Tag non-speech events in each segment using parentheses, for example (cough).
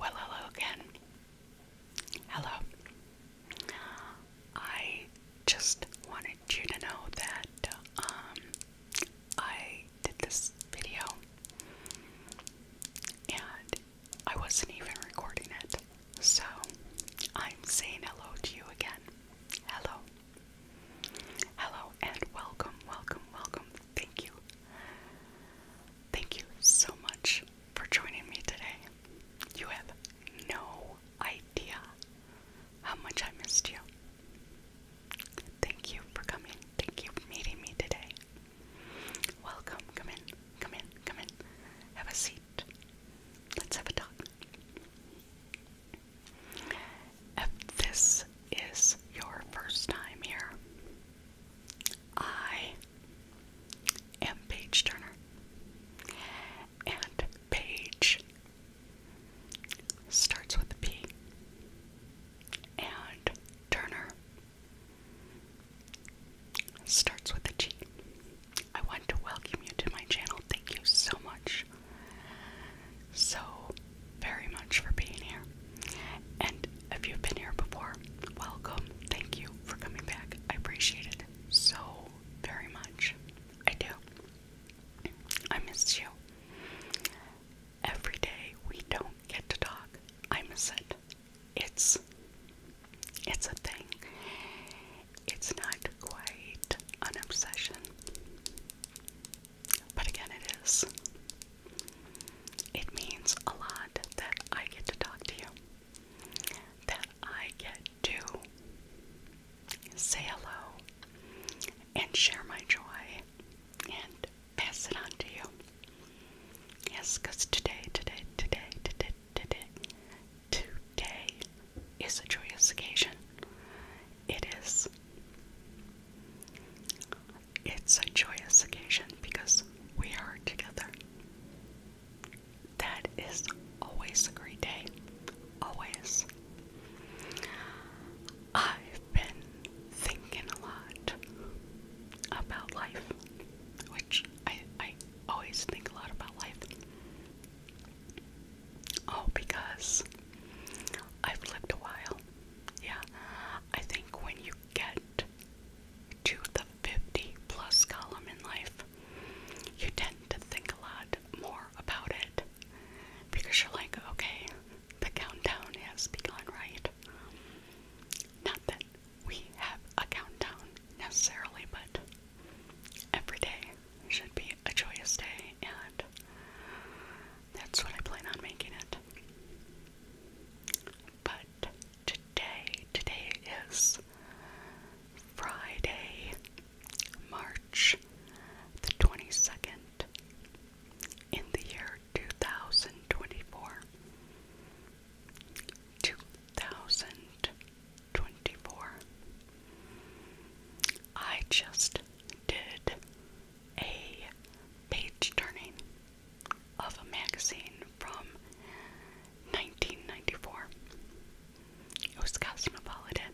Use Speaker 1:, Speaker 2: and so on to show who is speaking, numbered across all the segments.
Speaker 1: Well, hello again. Hello. I just wanted you to know that um, I did this video and I wasn't even recording it. So I'm saying hello to you again. Hello. Hello and welcome, welcome, welcome. Thank you. Thank you so much for joining me today. You have no idea how much I missed you. Thank you for coming. Thank you for meeting me today. Welcome. Come in. Come in. Come in. Have a seat. Let's have a talk. If this is your first time here, I am Paige Turner. And Paige starts with a P. And Turner starts with a G. I want to welcome you to my channel. Thank you so much. So, very much for being here. And if you've been here before, welcome. Thank you for coming back. I appreciate it so very much. I do. I miss you. Every day we don't get to talk. I miss it. It's it's a thing. It's not quite an obsession. But again, it is. It means a lot that I get to talk to you, that I get to say hello and share my joy and pass it on to you. Yes, because today, today, today, today, today, today is a joyous occasion. It is it's a joyous occasion because we are together. That is always a great day. Always. I've been thinking a lot about life, which I, I always think a lot about life. Oh, because I've lived a while. Yeah. I think when you get to the 50 plus column in life, you tend to think a lot more about it because you're like, okay, the countdown has begun, right? Not that we have a countdown necessarily, but every day should be a joyous day, and that's what I plan on making it. But today, today is Friday, March the 22nd in the year 2024. 2024. I just did a page turning of a magazine from 1994. It was Cosmopolitan.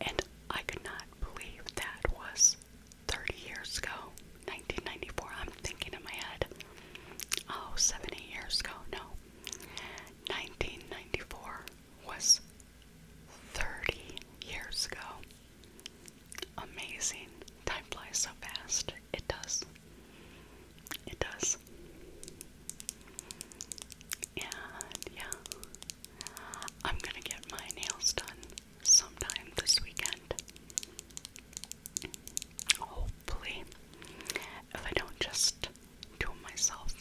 Speaker 1: And I could not believe that was 30 years ago, 1994. I'm thinking in my head, oh, 70 years ago. No. 1994 was 30 years ago amazing. Time flies so fast. It does. It does. And yeah, I'm gonna get my nails done sometime this weekend. Hopefully, if I don't just do them myself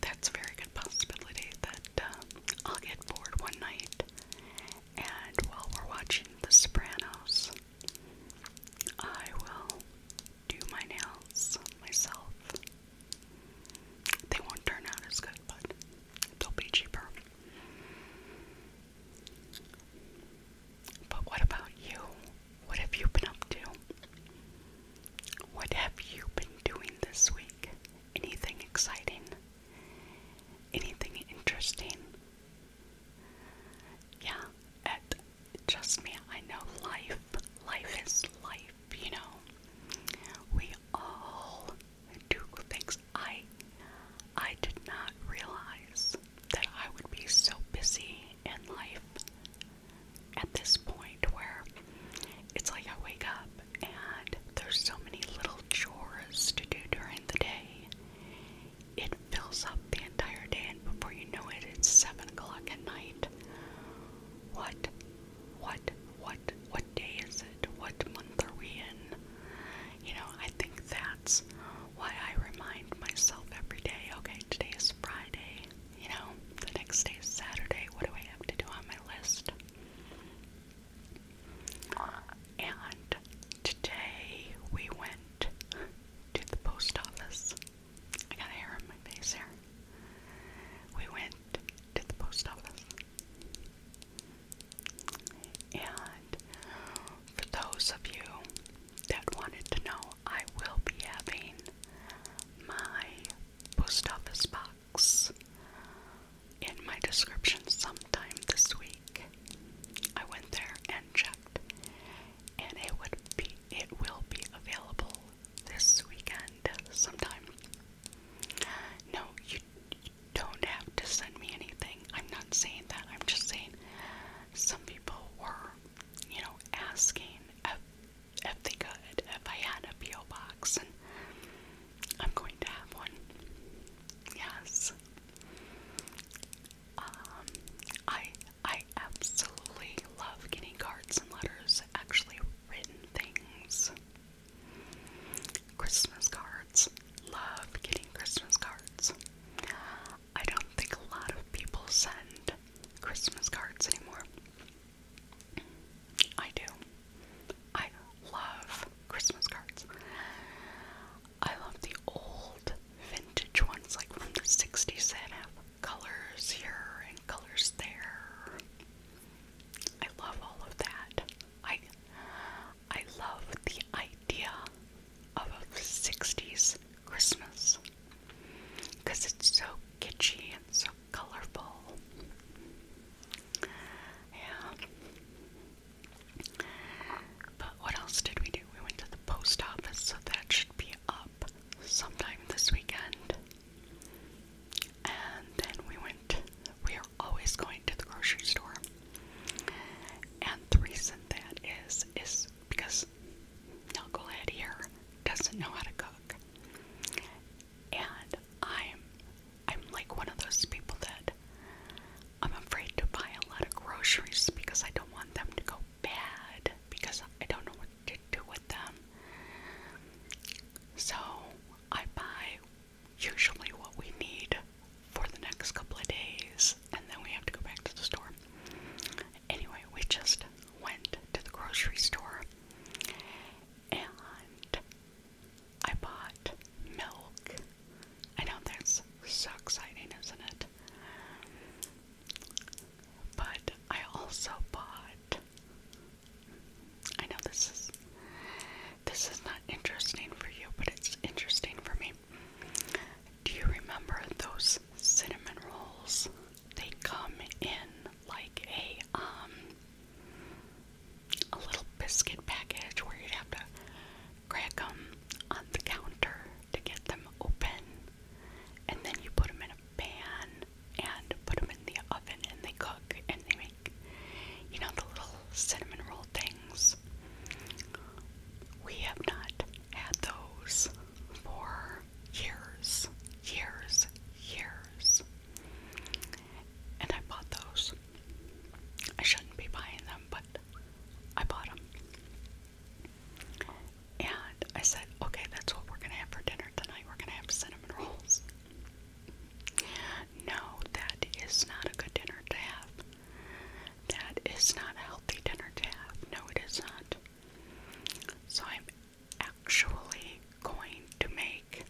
Speaker 1: that's a very good possibility that um, I'll get bored one night and while we're watching The Sopranos, I will do my nails myself. They won't turn out as good, but they'll be cheaper. But what about you? What have you been up to? What have you been doing this week? anything exciting, anything interesting. Yeah, it, trust me, I know life. Life is life, you know. We all do things. I, I did not realize that I would be so busy in life at this point where it's like I wake up and there's so many little chores to do during the day. It fills up the entire day, and before you know it, it's 7 o'clock at night. What, what, what, what day is it? What month are we in? You know, I think that's why I remind myself every day okay, today is Friday, you know, the next day is Saturday. What do I have to do on my list? And today we went to the post office. I got hair on my face here. We went to the post office. And for those of you that wanted to know, I will be having my post office box in my description sometime this week. I went there and checked, and it would be it will be available this weekend sometime. No, you don't have to send me anything. I'm not saying that. I'm just saying some people were, you know, asking uh, if they could, if I had a P.O. box, I'm going to have one. Yes. Um, I I absolutely love getting cards and letters, actually written things. Christmas cards. Love getting Christmas cards. I don't think a lot of people send Christmas cards anymore. I do. I love Christmas cards. I love the old vintage ones, like from the 60s that have colors here and colors there. I love all of that. I I love the idea of a 60s Christmas because it's so kitschy and so colorful. Yeah. But what else did we do? We went to the post office, so that should be up sometime this weekend. And then we went, we are always going to the grocery store. And the reason that is, is because Nicole here doesn't know how to cook and I'm I'm like one of those people that I'm afraid to buy a lot of groceries because I don't want them to go bad because I don't know what to do with them. So I buy usually what we need for the next couple of days and then we have to go back to the store. Anyway, we just went to the grocery store and I bought milk. I know that's so exciting, isn't it? But I also bought I know this is this is not interesting for you, but it's interesting for me. Do you remember those cinnamon rolls? they come in like a um a little biscuit package where you'd have to crack them on the counter to get them open, and then you put them in a pan and put them in the oven and they cook and they make you know the little cinnamon roll things. We have not had those for years, years, years. And I bought those. I shouldn't be buying them, but I bought them. And I said, okay, that's what we're going to have for dinner tonight. We're going to have cinnamon rolls. No, that is not a good dinner to have. That is not a healthy dinner to have. No, it is not. So I'm actually going to make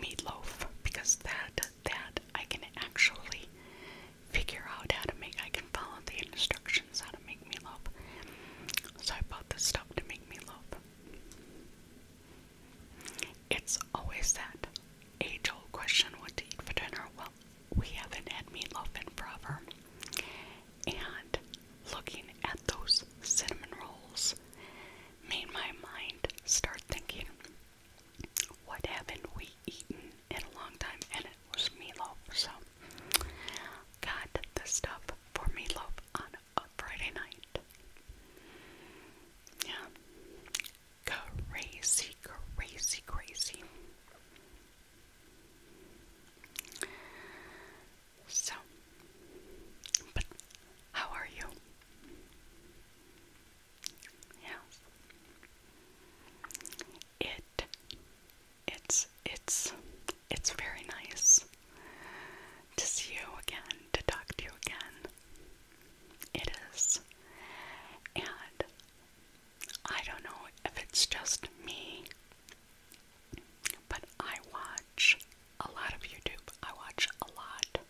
Speaker 1: meatloaf because that that I can actually figure out how to make I can follow the instructions how to make meatloaf. So I bought this stuff to make meatloaf. It's always that age old question what to eat for dinner. Well, we haven't had meatloaf in forever and looking at those cinnamon rolls made my mind start thinking, what haven't we eaten in a long time? And it was meatloaf, so got the stuff for meatloaf on a Friday night. Yeah, crazy, crazy, crazy. So, but how are you? Yes. It it's it's it's very nice to see you again, to talk to you again. It is. And I don't know if it's just me, but I watch a lot of YouTube. I watch a lot,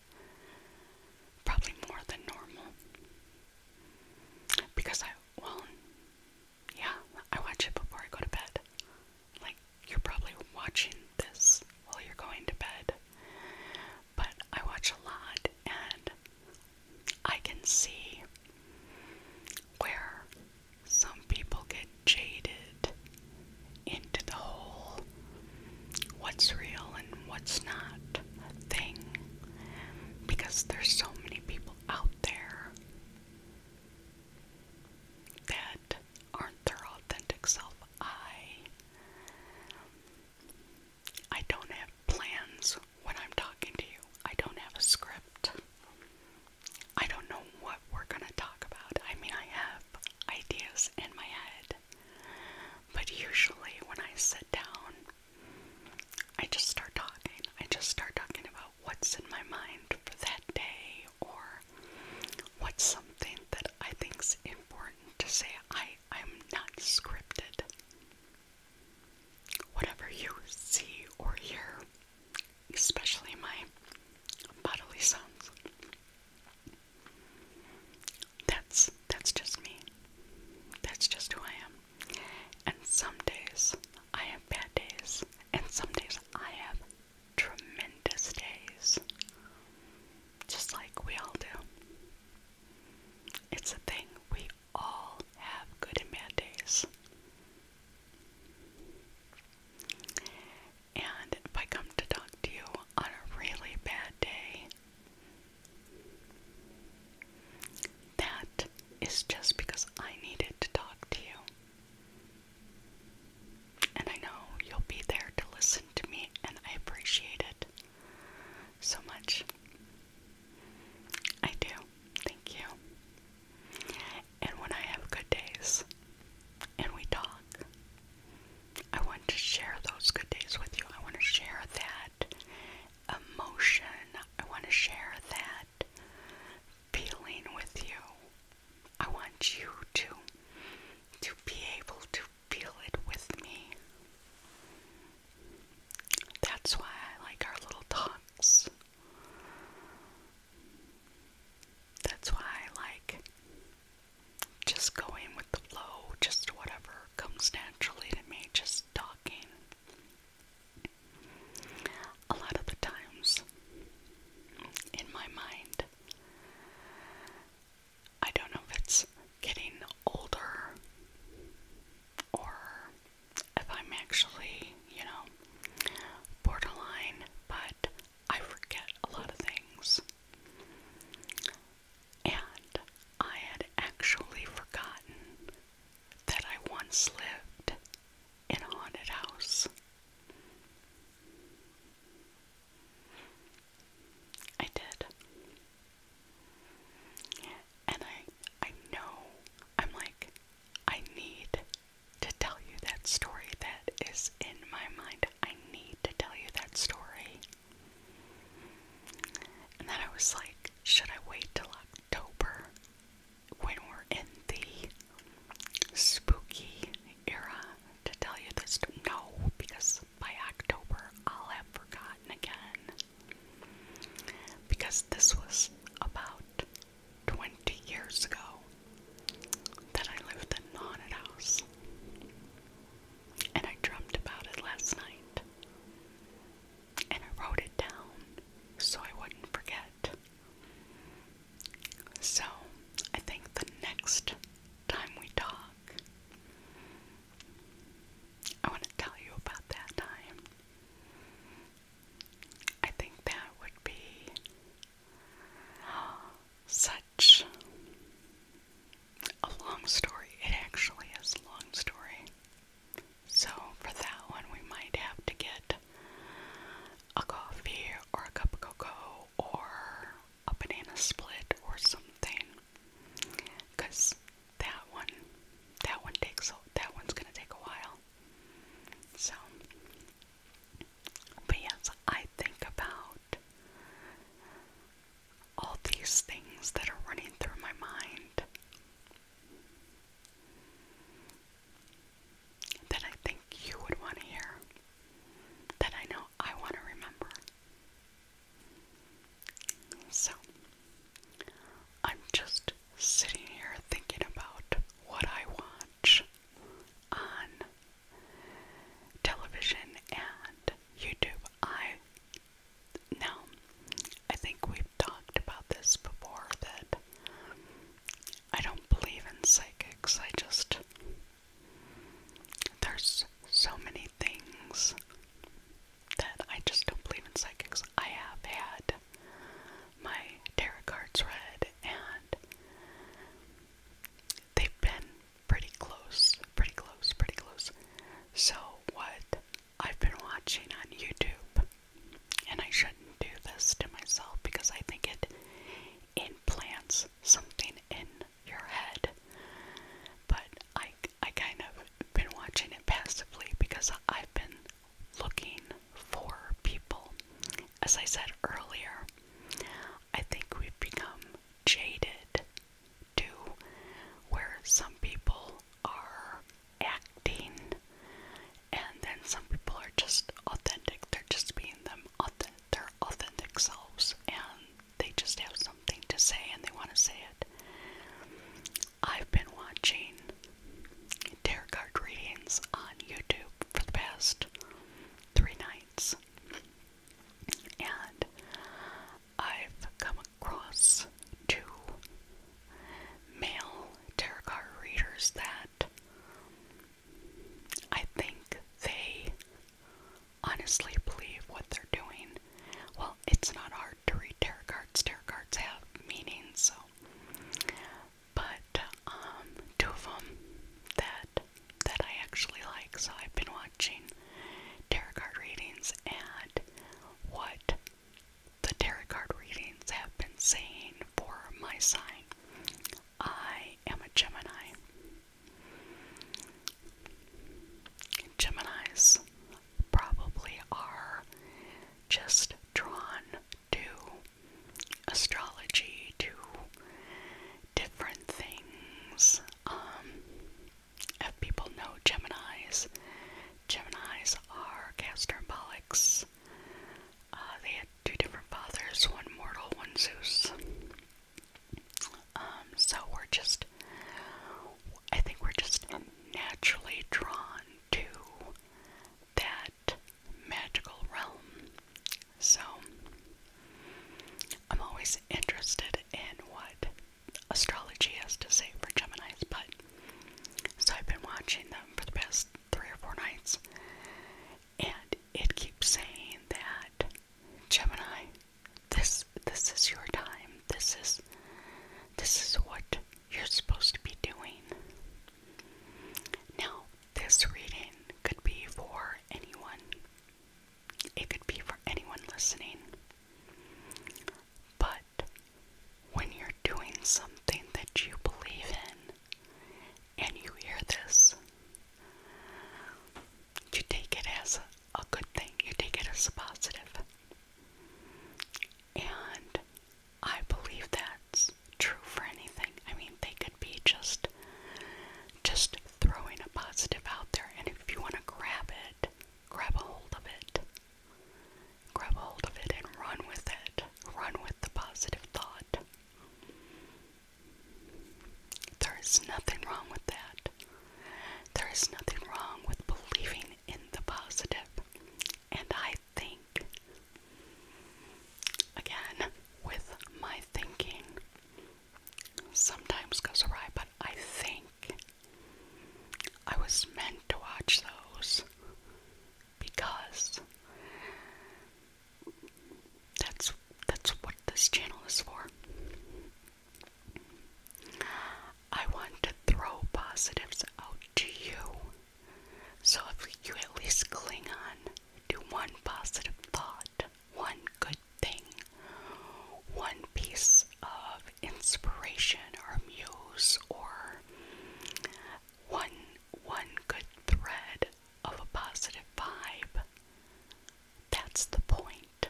Speaker 1: probably more than normal. Because I, well, yeah, I watch it before I go to bed. Like, you're probably watching this while you're going to bed. But I watch a lot and I can see where some people get jaded into the whole what's real and what's not thing because there's so many people out there that aren't their authentic self. I I don't have plans when I'm talking to you. I don't have a script. I don't know what we're gonna talk about. I mean, I have ideas in my head, but usually when I sit down, I just start talking. I just start talking about what's in my mind for that day or what's something that I think's important to say. I I'm not scripted. Whatever you see or hear, especially my bodily sounds, that's that's just me. That's just who I am. And some days I have bad days, and some days I have tremendous days. Just like we all do. It's a thing we all have good and bad days. And if I come to talk to you on a really bad day, that is just because I needed to talk to you. And I know you'll be there to listen to me, and I appreciate it so much. I do. Thank you. And when I have good days and we talk, I want to share those good days with you. I want to share that emotion. I want to share that feeling with you. I want you to to be able to feel it with me. That's why I like our little talks. That's why I like just going with the flow, just whatever comes naturally to me, just talking. A lot of the times in my mind, I don't know if it's getting older or if I'm actually, you know, borderline, but I forget a lot of things. And I had actually forgotten that I once lived in a haunted house. I did. And I I know I'm like I need to tell you that story that is in my mind. I need to tell you that story. And then I was like, should I wait till October when we're in the spooky era to tell you this? No, because by October I'll have forgotten again. Because this was about 20 years ago that I lived in haunted house. And I dreamt about it last night. And I wrote it down so I wouldn't forget. So I think the next time we talk, I want to tell you about that time. I think that would be such a long story. It actually is a long story. So, for that one, we might have to get a coffee or a cup of cocoa or a banana split or something. Because that one that one takes that one's gonna take a while. So but yes, I think about all these things that are running through my mind that I think you would want to hear, that I know I want to remember. So, I'm just sitting here thinking about what I watch on television and YouTube. I now I think we've talked about this before that I don't believe in psychics. I just there's so many things that I just don't believe in psychics. I have had my tarot cards read, and they've been pretty close, pretty close, pretty close. So, what I've been watching on YouTube, and I shouldn't do this to myself because I think it implants something in your head, but I, I kind of been watching it passively because I've been looking for people. As I said earlier, I think we've become jaded to where some people are acting and then some people are just authentic. They're just being them authentic, their authentic selves and they just have something to say and they want to say it. I've been watching tarot card readings on YouTube for the past three nights, and I've come across two male tarot card readers that I think they honestly believe what they're doing. Well, it's not hard to read tarot cards. Tarot cards have meaning, so. But um, two of them that that I actually like. So I've been watching tarot card readings and what the tarot card readings have been saying for my sign. I am a Gemini. Geminis probably are just drawn to astrology, to different things. Um, if people know Geminis, Geminis are Castor and Pollux. Uh, they had two different fathers, one mortal, one Zeus. Um, so we're just I think we're just naturally drawn to that magical realm. So I'm always interested in what astrology has to say for Geminis, but so I've been watching them for the past three or four nights, and it keeps saying that Gemini, this this is your time. This is this is what you're supposed to be doing. Now, this reading could be for anyone, it could be for anyone listening. But when you're doing something that you believe in and you hear this, you take it as a, good thing, you take it as positive. And I believe that's true for anything. I mean, they could be just just throwing a positive out there and if you want to grab it, grab a hold of it. Grab a hold of it and run with it. Run with the positive thought. There is nothing wrong with that. There is nothing wrong with believing in the positive, and I think, again, with my thinking, sometimes goes awry, but I think I was meant to watch those because that's that's what this channel is for. I want to throw positives out to you. So if you at least cling on to one positive thought, one good thing, one piece of inspiration or muse or one one good thread of a positive vibe. That's the point.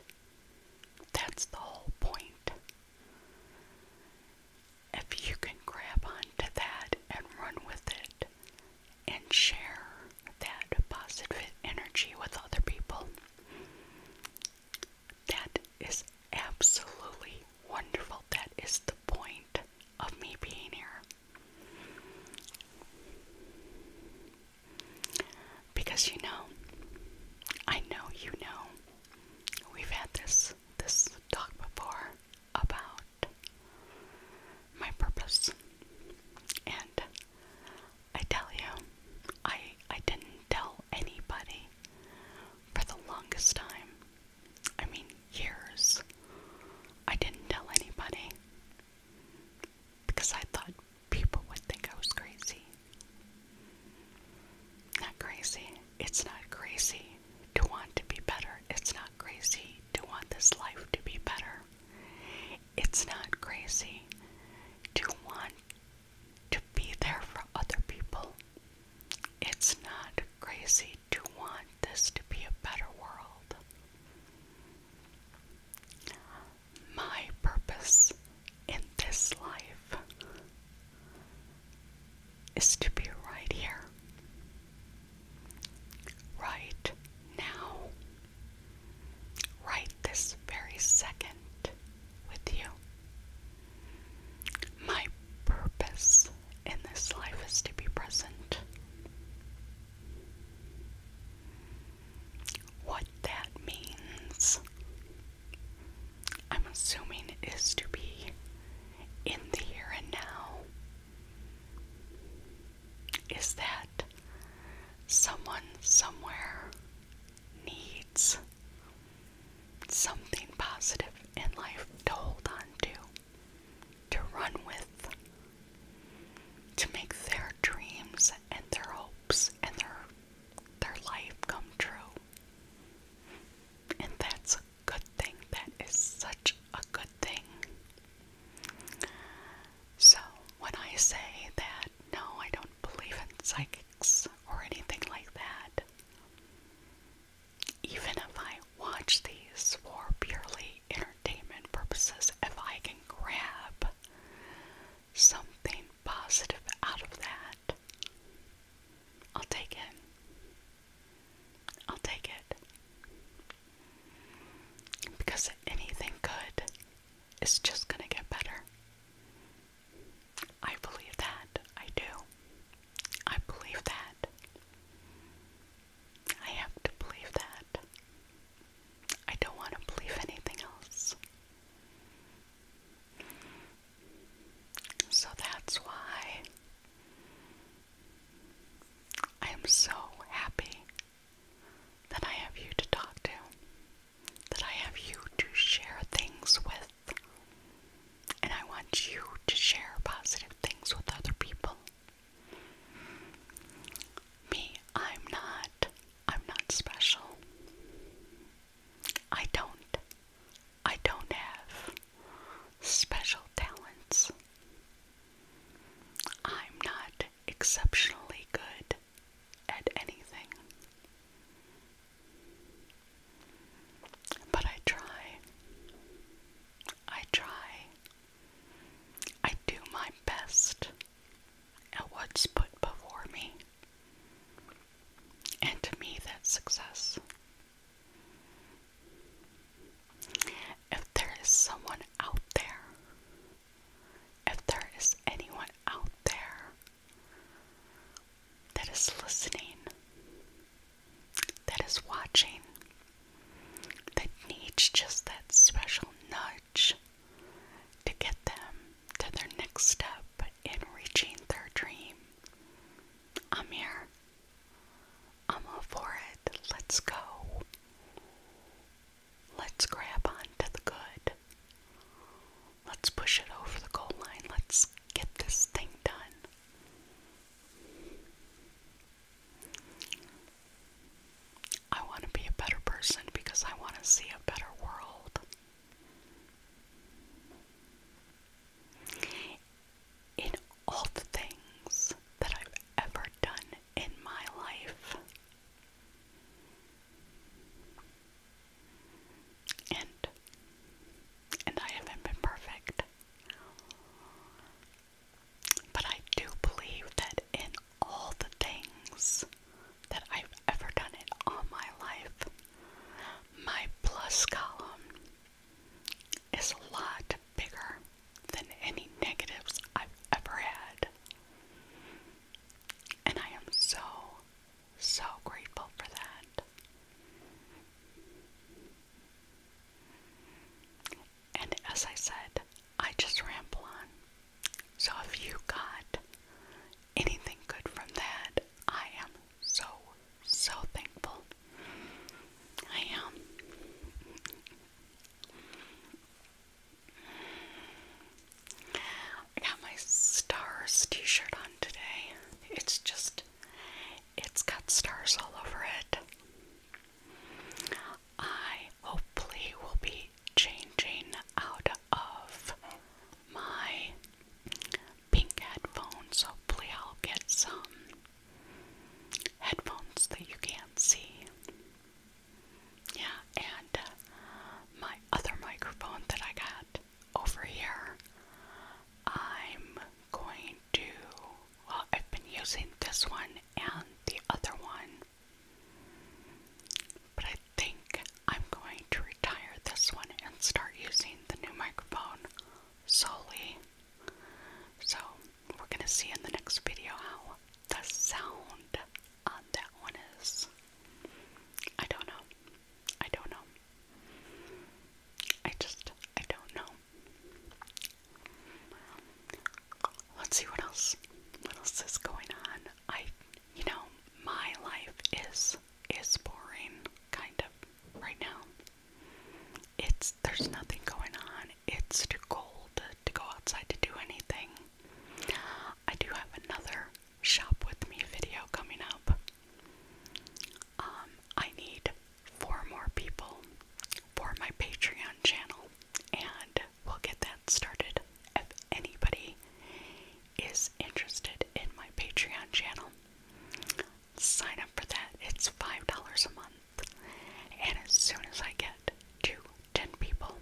Speaker 1: That's the whole point. If you can grab onto that and run with it and share that positive energy with other people, that is absolutely wonderful. That is the point of me being here. Because you know, I know you know We've had this this talk before about my purpose. And I tell you, I I didn't tell anybody for the longest time. I mean years. I didn't tell anybody because I thought people would think I was crazy. Not crazy. It's not crazy to want to be better. It's not crazy to want this life to be better. It's not crazy to want to be there for other people. It's not crazy to want this to be a better world. My purpose in this life is to be right here, right now, right this very second with you. My purpose in this life is to be present. What that means I'm assuming is to be in the here and now. Is that someone somewhere needs something positive in life to hold on to, to run with, to make their dreams and their hopes and their their life come true. And that's a good thing. That is such a good thing. So, when I say that, no, I don't believe in psychics or anything like that, even if I watch these for purely entertainment purposes, if I can grab something positive out of that, I'll take it. I'll take it. Because anything good is just going to get better. I believe that. I do. I believe that. I have to believe that. I don't want to believe anything else. So that's why I am so happy that I have you to talk to, that I have you to share things with, and I want you to share positive things with other people. Me, I'm not. I'm not special. I don't. I don't have special talents. I'm not exceptionally good at anything. But I try. I try. I do my best at what's put before me. And to me, that's success. If there is someone out there, if there is anyone out there that is listening, that is watching, that needs just that special nudge to get them to their next step in reaching their dream. I'm here. I'm all for it. Let's go. Let's grab onto the good. Let's push it over the goal line. Let's get this thing done. I want to be a better person because I want to see a better world. In all the things that I've ever done in my life, and and I haven't been perfect. But I do believe that in all the things that I've ever done in all my life. My plus column is a lot bigger than any negatives I've ever had. And I am so, so grateful for that. And as I said, I just ramble on. So if you got anything good from that. I am so, so thankful. I am. I got my stars t shirt on today. It's just, it's got stars all over it. I hopefully will be changing out of my pink headphones. Hopefully, I'll get some headphones that you can't see. Yeah, and uh, my other microphone that I got over here, I'm going to. Well, I've been using this one and the other one but I think I'm going to retire this one and start using the new microphone solely. So we're going to see in the next video how the sound on that one is. I don't know. I don't know. I just, I don't know. Let's see what else. What else is going on? I you know, my life is is boring kind of right now. It's there's nothing going on. It's too cold to go outside to do anything. I do have another shop with me video coming up. Um, I need four more people for my Patreon channel, and we'll get that started. If anybody is interested in my Patreon channel, sign up for that. It's $5 a month. And as soon as I get to 10 people,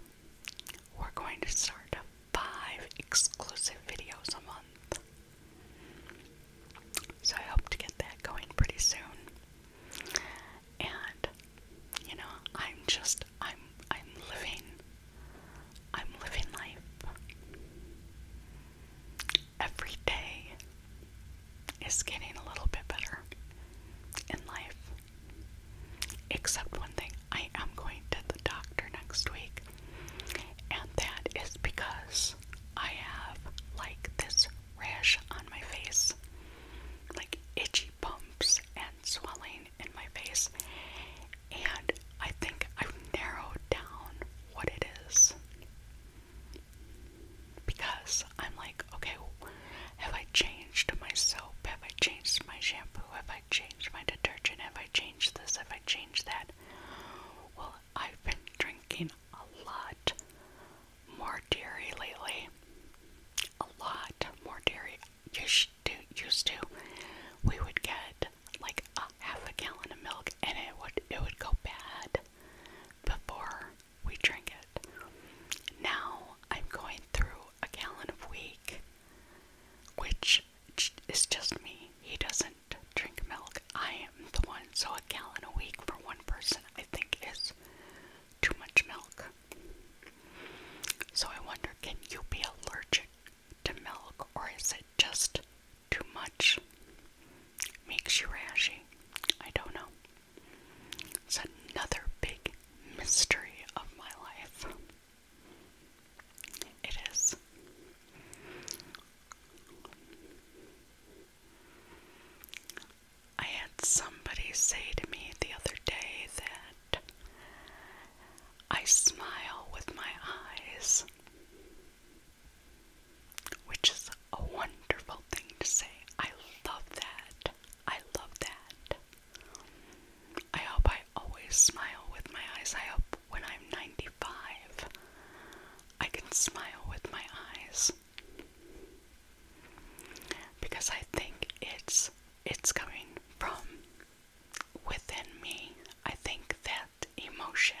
Speaker 1: we're going to start 5 exclusive videos a month. So I hope to get that going pretty soon. And you know, I'm just I'm I'm living I'm living life. Every day is getting a little bit better in life. Except one thing, I am going to the doctor next week. And that is because I have like this rash on my face. Like itchy bumps and swelling in my face, and I think I've narrowed down what it is because I'm like, okay, have I changed my soap? Have I changed my shampoo? Have I changed my detergent? Have I changed this? Have I changed that? Well, I've been drinking a lot more dairy lately a lot more dairy. Used to, we would get like a half a gallon of milk, and it would it would go bad before we drink it. Now I'm going through a gallon a week, which is just me. He doesn't drink milk. I am the one. So a gallon a week for one person, I think, is too much milk. So I wonder can you be allergic to milk or is it just too much? Makes you rashy. I don't know. It's another big mystery of my life. It is. I had somebody say to me the other day that I smile with my eyes, which is a wonderful thing to say. I love that. I love that. I hope I always smile with my eyes. I hope when I'm 95, I can smile with my eyes. Because I think it's it's coming from within me. I think that emotion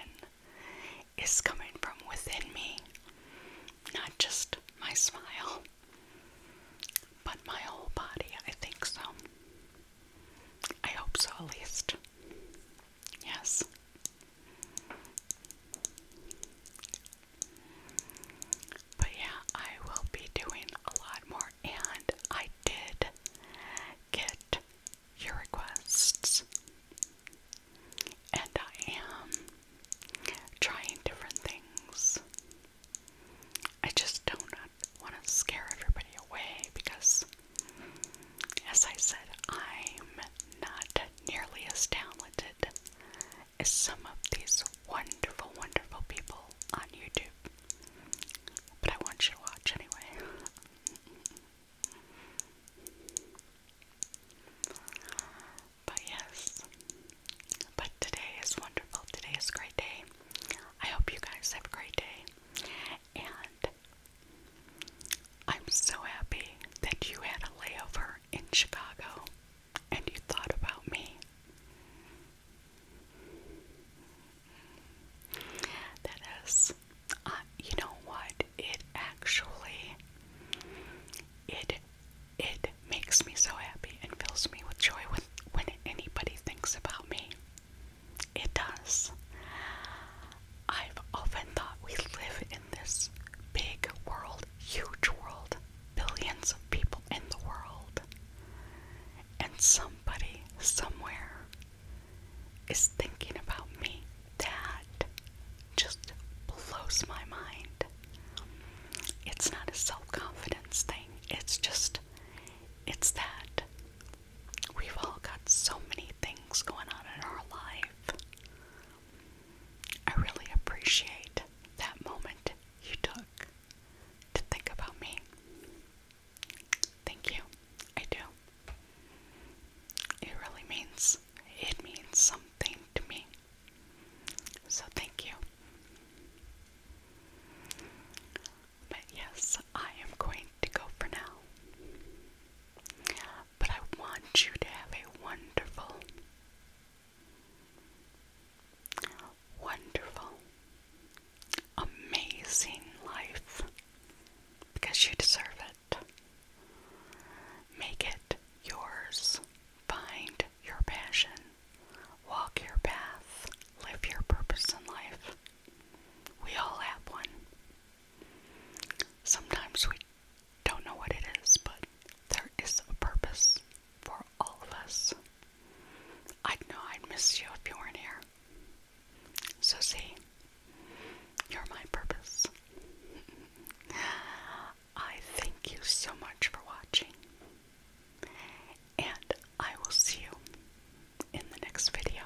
Speaker 1: is coming from within me, not just my smile, but my whole body. I think so. I hope so, at least. Yes. But yeah, I will be doing a lot more and I did get your requests, and I am trying different things. I just don't want to scare everybody away because, as I said, I'm not nearly as talented is some of these wonderful, wonderful people on YouTube. But I want you to watch anyway. (laughs) But yes, but today is wonderful. Today is a great day. I hope you guys have a great day. And I'm so happy that you had a layover in Chicago and you thought about me. That is, uh, you know what? It actually, it, it makes me so happy and fills me with joy when when anybody thinks about me. It does. I've often thought we live in this big world, huge world, billions of people in the world, and somebody somewhere is thinking about me. That just blows my mind. It's not a self confidence thing, it's just, it's that we've all got so many things going on in our life. I really appreciate that moment you took to think about me. Thank you. I do. It really means, it means something to me. So thank you. But yes, I am going to go for now. But I want you to have a wonderful, wonderful, amazing life because you deserve it. Make it yours. Find your passion. Walk your path. Live your purpose in life. We all have one. Sometimes we don't know what it is, but there is a purpose for all of us. i know I'd miss you if you weren't here. So, see, you're my purpose. (laughs) I thank you so much for watching, and I will see you in the next video.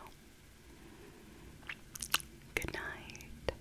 Speaker 1: Good night.